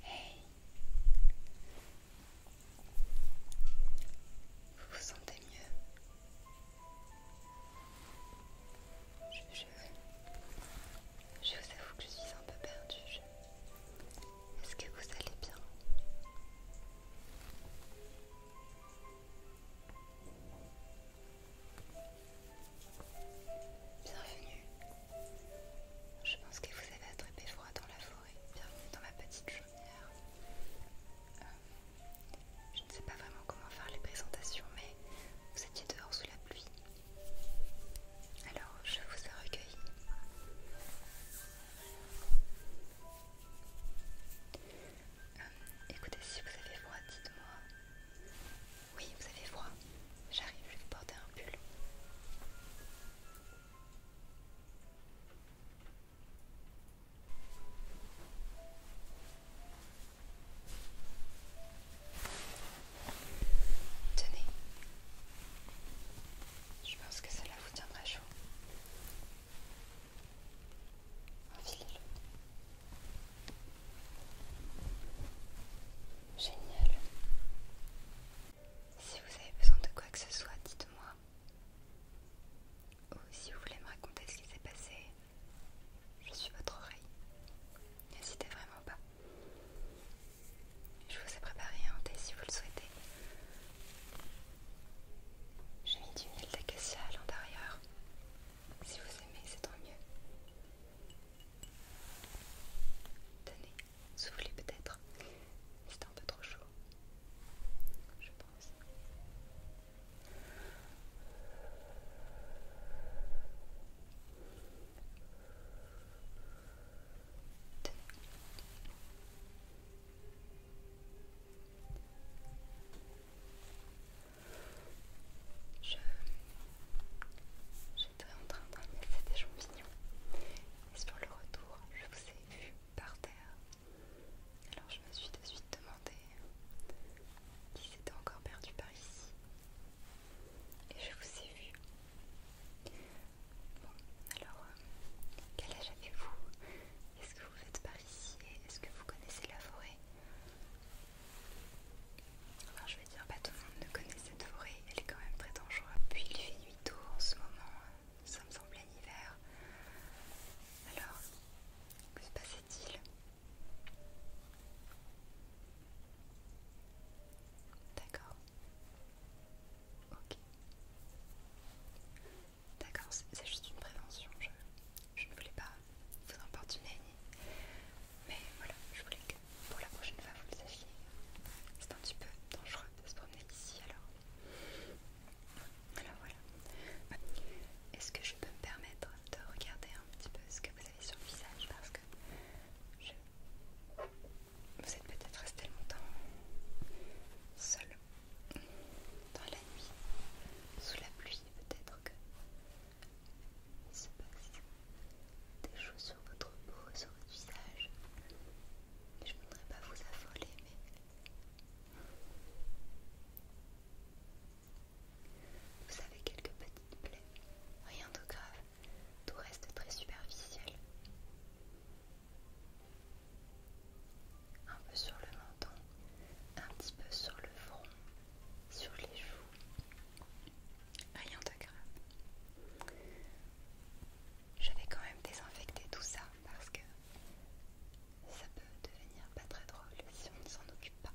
Hey Vous vous sentez mieux je, vous avoue que je suis un peu perdue. Est-ce que vous allez bien Bienvenue. Je pense que vous avez attrapé froid dans la forêt. Bienvenue dans ma petite chaumière. Euh, je ne sais pas vraiment comment faire les présentations, mais vous étiez dehors sous la pluie. Alors, je vous ai recueilli. Euh, écoutez, si vous avez froid, dites-moi. Oui, vous avez froid. J'arrive, je vais vous porter un pull. Tenez, je pense que cela vous tiendra chaud. Enfilez-le. Génial. Si vous avez besoin de quoi que ce soit, dites-moi. Ou si vous voulez me raconter ce qui s'est passé, je suis votre oreille. N'hésitez vraiment pas. Je vous ai préparé un thé si vous le souhaitez. J'ai mis du miel d'acacia à l'intérieur. Si vous aimez, c'est tant mieux. Tenez, soufflez peut-être. C'est un peu trop chaud. Je pense. Je j'étais en train de ramasser des champignons et sur le retour je vous ai vu par terre alors je me suis de suite demandé qui s'était encore perdu par ici. Et je vous ai vu. Bon, alors, euh, quel âge avez-vous Est-ce que vous faites par ici est-ce que vous connaissez la forêt alors je vais dire, pas tout le monde ne connaît cette forêt, elle est quand même très dangereuse. Puis il fait nuit tôt en ce moment, nous sommes en plein hiver. Alors que se passait-il D'accord. Ok. D'accord, c'est juste une prévention. Je, ne voulais pas vous emporter Mais voilà, je voulais que pour la prochaine fois vous le sachiez. C'est un petit peu dangereux de se promener ici alors. Alors voilà. Est-ce que je peux me permettre de regarder un petit peu ce que vous avez sur le visage Parce que je... vous êtes peut-être resté longtemps seul dans la nuit, sous la pluie, peut-être que il se passe des choses sur votre peau, sur votre visage. Je ne voudrais pas vous affoler, mais vous avez quelques petites plaies, rien de grave, tout reste très superficiel. Un peu sur le menton, un petit peu sur le front, sur les joues, rien de grave. Je vais quand même désinfecter tout ça parce que ça peut devenir pas très drôle si on ne s'en occupe pas.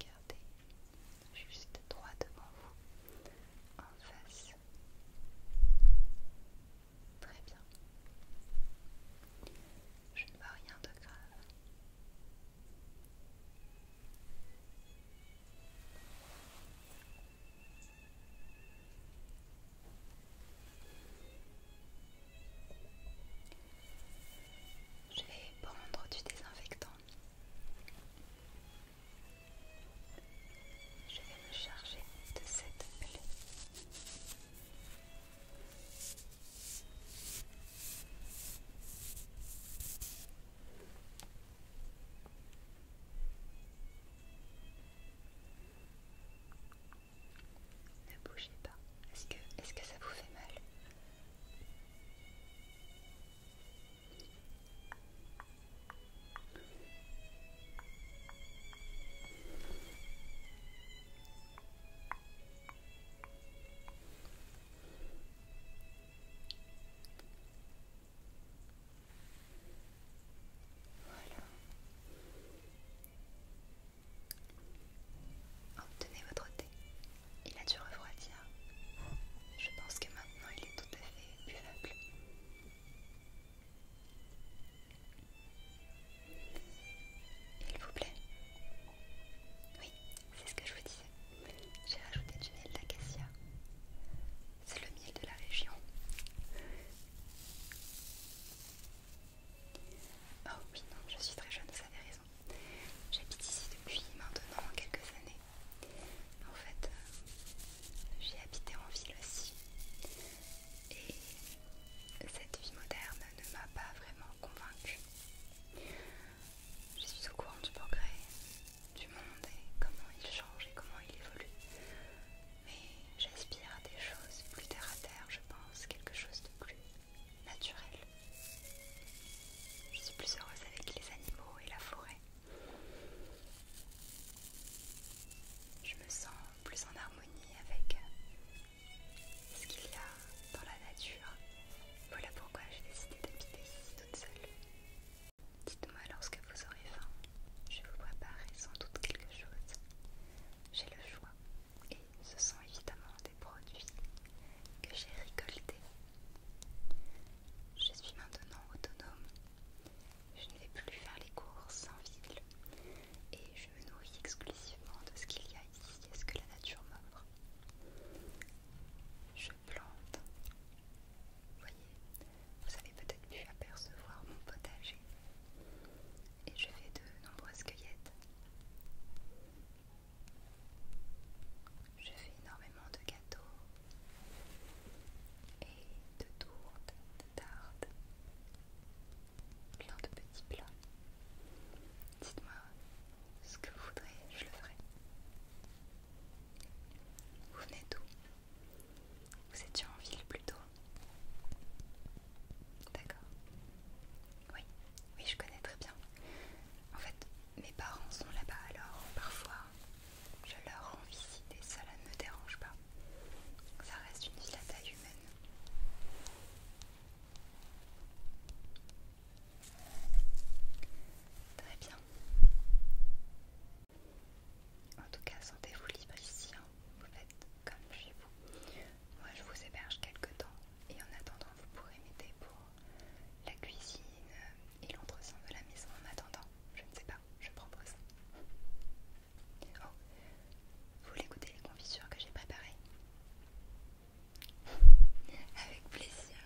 Regardez juste droit devant vous, en face. Très bien. Je ne vois rien de grave. Je vais prendre du désinfectant. Je vais me charger de cette plaie. Ne bougez pas. Est-ce que, que ça vous fait mal voilà. Obtenez oh, votre thé. Il a dû refroidir. Je pense que maintenant il est tout à fait buvable. Il vous plaît Oui, c'est ce que je vous disais. J'ai rajouté du miel d'acacia c'est le miel de la région. Oh oui, non, je suis très jeune, vous avez raison. J'habite ici depuis maintenant quelques années. En fait, euh, j'ai habité en ville aussi. Et cette vie moderne ne m'a pas vraiment convaincue. Je suis au courant du progrès, du monde et comment il change et comment il évolue. Mais j'aspire à des choses plus terre à terre, je pense, quelque chose de plus naturel. Je suis plus heureuse avec les animaux et la forêt. Je me sens plus en harmonie avec ce qu'il y a dans la nature. Voilà pourquoi j'ai décidé d'habiter ici toute seule. Dites-moi lorsque vous aurez faim. Je vous préparerai sans doute quelque chose. J'ai le choix, et ce sont évidemment des produits que j'ai récoltés. Je suis maintenant autonome. Je ne vais plus faire les courses en ville, et je me nourris exclusivement de ce qu'il y a ici et ce que la nature m'offre. Je plante, Voyez, vous avez peut-être pu apercevoir mon potager et je fais de nombreuses cueillettes. Je fais énormément de gâteaux et de tourtes, de tartes, plein de petits plats. Dites-moi ce que vous voudrez, je le ferai. Vous venez d'où vous étiez en ville plus tôt D'accord. Oui, oui, je connais très bien. En fait, mes parents sont là-bas, alors parfois je leur rends visite et ça ne me dérange pas. Ça reste une ville à taille humaine. Très bien. En tout cas, sentez-vous libre ici, hein. vous faites comme chez vous. Moi, je vous héberge quelque temps et en attendant, vous pourrez m'aider pour la cuisine et l'entretien de la maison. En attendant, je ne sais pas, je propose. Oh, vous voulez goûter les confitures que j'ai préparées Avec plaisir.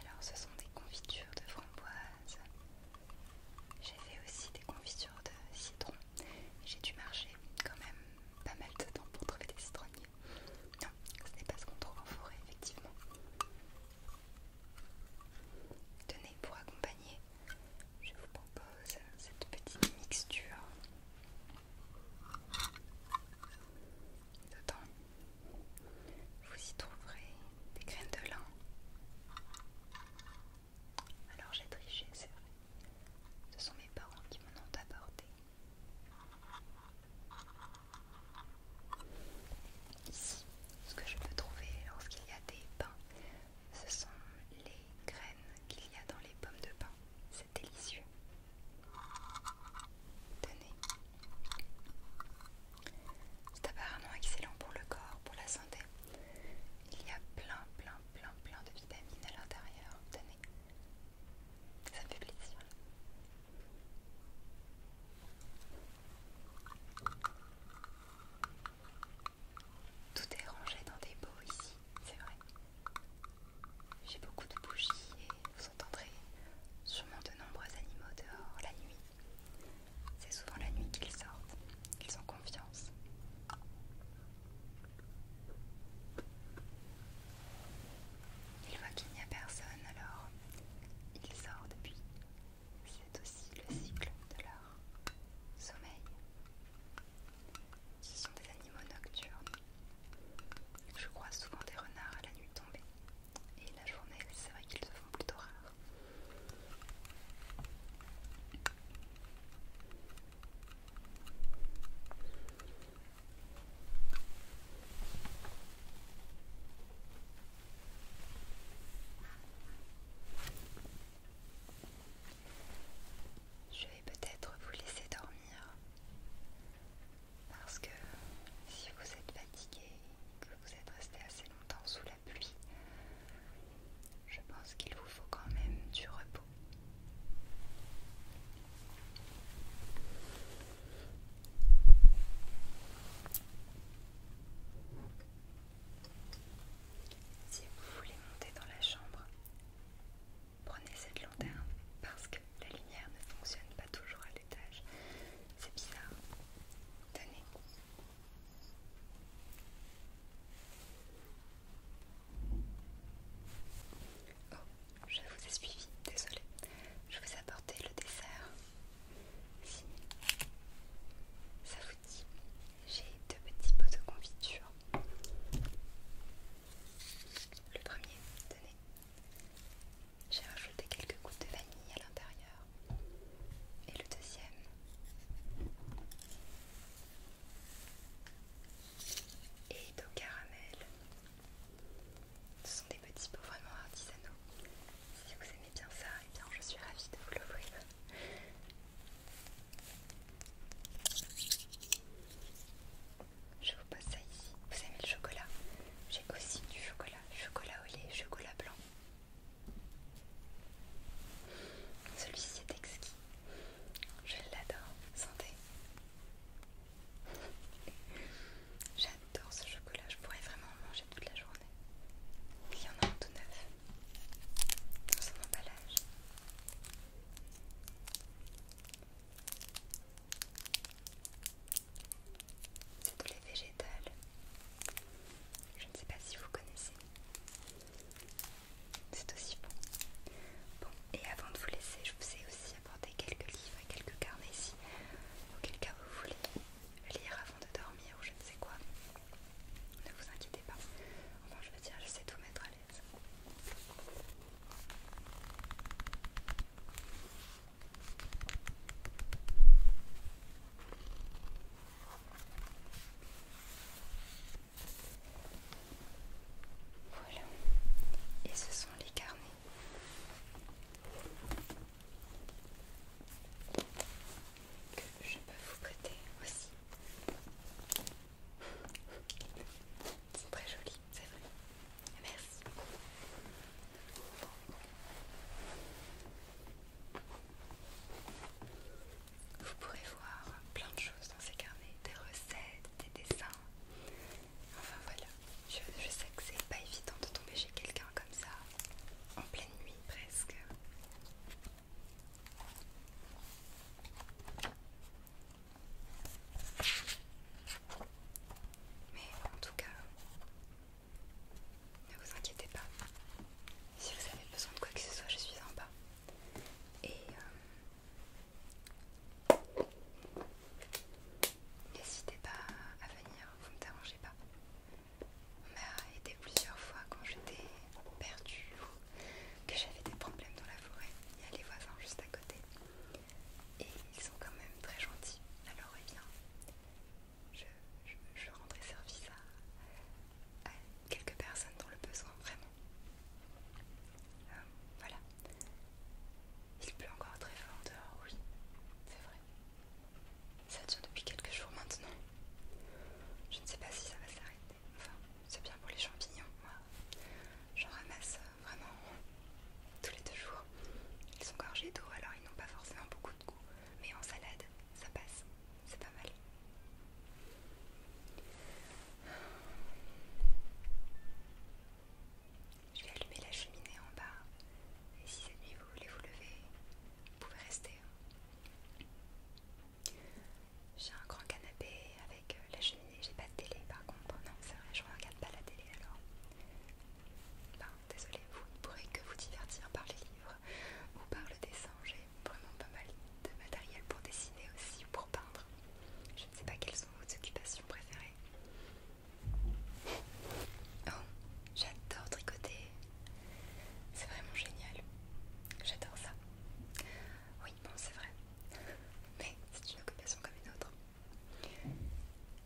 Alors ce sont des confitures de framboise. J'ai fait aussi des confitures de citron. J'ai dû marcher quand même pas mal de temps pour trouver des citronniers. Non, ce n'est pas ce qu'on trouve en forêt, effectivement. Tenez, pour accompagner, je vous propose cette petite mixture Dedans, vous y trouverez des graines de lin. Alors j'ai triché, c'est vrai. Ce sont mes parents qui m'en ont apporté. Ici, ce que je peux trouver lorsqu'il y a des pains, ce sont les graines qu'il y a dans les pommes de pain. C'est délicieux. Tenez. C'est apparemment excellent pour le corps, pour la santé. Il y a plein, plein, plein, plein de vitamines à l'intérieur. Tenez. Ça me fait plaisir. Tout est rangé dans des pots ici, c'est vrai. J'ai beaucoup de bougies et vous entendrez sûrement de nombreux animaux dehors la nuit. C'est souvent la nuit qu'ils sortent, ils ont confiance. Ils voient qu'il n'y a personne, alors ils sortent, puis c'est aussi le cycle de leur sommeil. Ce sont des animaux nocturnes. Je crois souvent des renards à la nuit tombée. Et la journée, c'est vrai qu'ils se font plutôt rares. Je vais peut-être vous laisser dormir. Parce que si vous êtes fatigué que vous êtes resté assez longtemps sous la pluie, je pense qu'il vous faut quand même du repos. Si vous voulez monter dans la chambre, Prenez cette lanterne parce que la lumière ne fonctionne pas toujours à l'étage. C'est bizarre. Tenez. Oh, je vous ai suivi, désolée. Je vous ai apporté le dessert. Si ça vous dit, j'ai deux petits pots de confiture. Le premier, tenez. J'ai rajouté quelques gouttes de vanille à l'intérieur. Et le deuxième. Et d'eau caramel. Ce sont des petits pots vraiment artisanaux. Si vous aimez bien ça, et eh bien je suis ravie de vous l'ouvrir. Je vous passe ça ici. Vous aimez le chocolat J'ai aussi du chocolat. Chocolat au lait, chocolat blanc. Celui-ci est exquis. Je l'adore. Sentez J'adore ce chocolat. Je pourrais vraiment en manger toute la journée. Il y en a en tout neuf. Dans son emballage. C'est tous les végétales. Je ne sais pas si vous connaissez. C'est aussi bon. Bon, et avant de vous laisser, je vous ai aussi apporté quelques livres et quelques carnets ici, auquel cas vous voulez lire avant de dormir ou je ne sais quoi. Ne vous inquiétez pas. Enfin, je veux dire, je sais tout mettre à voilà, et ce sont les carnets. Que je peux vous prêter aussi sont très joli, c'est vrai. Merci. Vous pourrez voir plein de choses dans ces carnets, des recettes, des dessins. Enfin voilà, je, je sais que c'est pas évident de tomber chez quelqu'un comme ça, en pleine nuit presque. Mais en tout cas, ne vous inquiétez pas. Si vous avez besoin de quoi que ce soit, je suis en bas. Et euh, n'hésitez pas à venir, vous ne me dérangez pas. On m'a aidé plusieurs fois quand j'étais perdue que j'avais des problèmes dans la forêt. Il y a les voisins juste à côté. Et ils sont quand même très gentils. Alors eh bien, je, rendrai service à, quelques personnes dans le besoin, vraiment. Euh, voilà. Il pleut encore très fort dehors, oui. C'est vrai. Ça dure depuis quelques jours maintenant. Je ne sais pas si ça va s'arrêter. Enfin, c'est bien pour les champignons, moi. J'en ramasse euh, vraiment tous les deux jours. Ils sont gorgés d'eau, alors ils n'ont pas forcément beaucoup de goût. Mais en salade, ça passe. C'est pas mal. Je vais allumer la cheminée en bas. Et si cette nuit vous voulez vous lever, vous pouvez rester. Hein. J'ai un grand canapé avec euh, la cheminée, j'ai pas de télé par contre, non c'est vrai, je regarde pas la télé alors. Ben, désolé, vous ne pourrez que vous divertir par les livres ou par le dessin. J'ai vraiment pas mal de matériel pour dessiner aussi ou pour peindre. Je ne sais pas quelles sont vos occupations préférées. Oh, j'adore tricoter. C'est vraiment génial. J'adore ça non c'est vrai. Mais c'est une occupation comme une autre.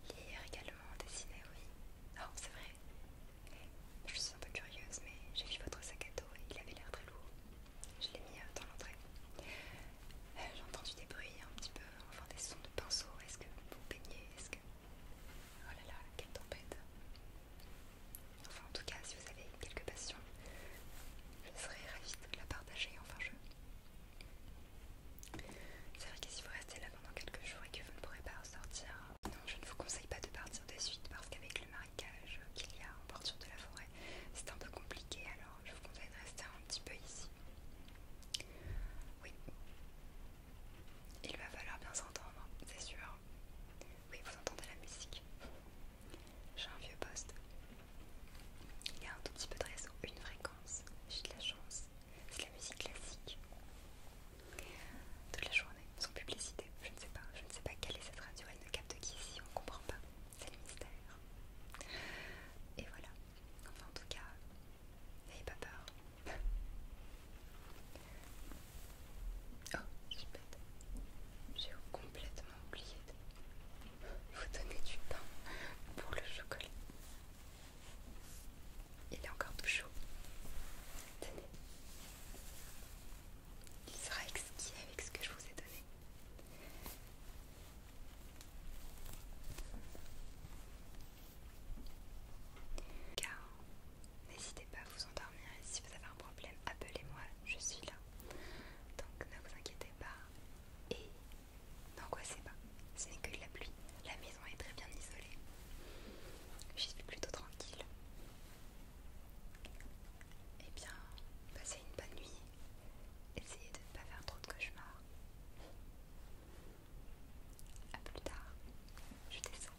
Lire également, dessiner, oui. Ah, oh, c'est vrai. Je suis un peu curieuse, mais j'ai vu votre sac à dos et il avait l'air très lourd. Je l'ai mis euh, dans l'entrée. Euh, j'ai entendu des bruits un petit peu, enfin des sons de pinceau. Est-ce que vous peignez Est-ce que... Oh là là, quelle tempête Enfin, en tout cas, si vous avez quelques passions, je serais ravie de la partager. Enfin, je. C'est vrai que si vous restez là pendant quelques jours et que vous ne pourrez pas ressortir, non, je ne vous conseille pas de partir de suite parce qu'avec le marécage qu'il y a en bordure de la forêt, c'est un peu compliqué. Alors, je vous conseille de rester un petit peu ici. Oui. Il va falloir bien s'entendre, c'est sûr. Oui, vous entendez la musique. J'ai un vieux poste. Il y a un tout petit peu de réseau, une fréquence. J'ai de la chance. C'est la musique classique. Toute la journée, sans publicité. Je ne sais pas. Je ne sais pas quelle est cette radio. Elle ne capte ici. On ne comprend pas. C'est le mystère. Et voilà. Enfin, en tout cas, n'ayez pas peur. Oh, je bête. J'ai complètement oublié de vous donner du pain pour le chocolat. Il est encore tout chaud. Tenez. Il sera exquis avec ce que je vous ai donné. Car n'hésitez pas à vous endormir et si vous avez un problème, appelez-moi, je suis là. Donc ne vous inquiétez pas et n'angoissez pas. Ce n'est que de la pluie. La maison est très bien isolée. J'y suis plutôt tranquille. Eh bien, passez une bonne nuit. Essayez de ne pas faire trop de cauchemars. A plus tard. Je descends.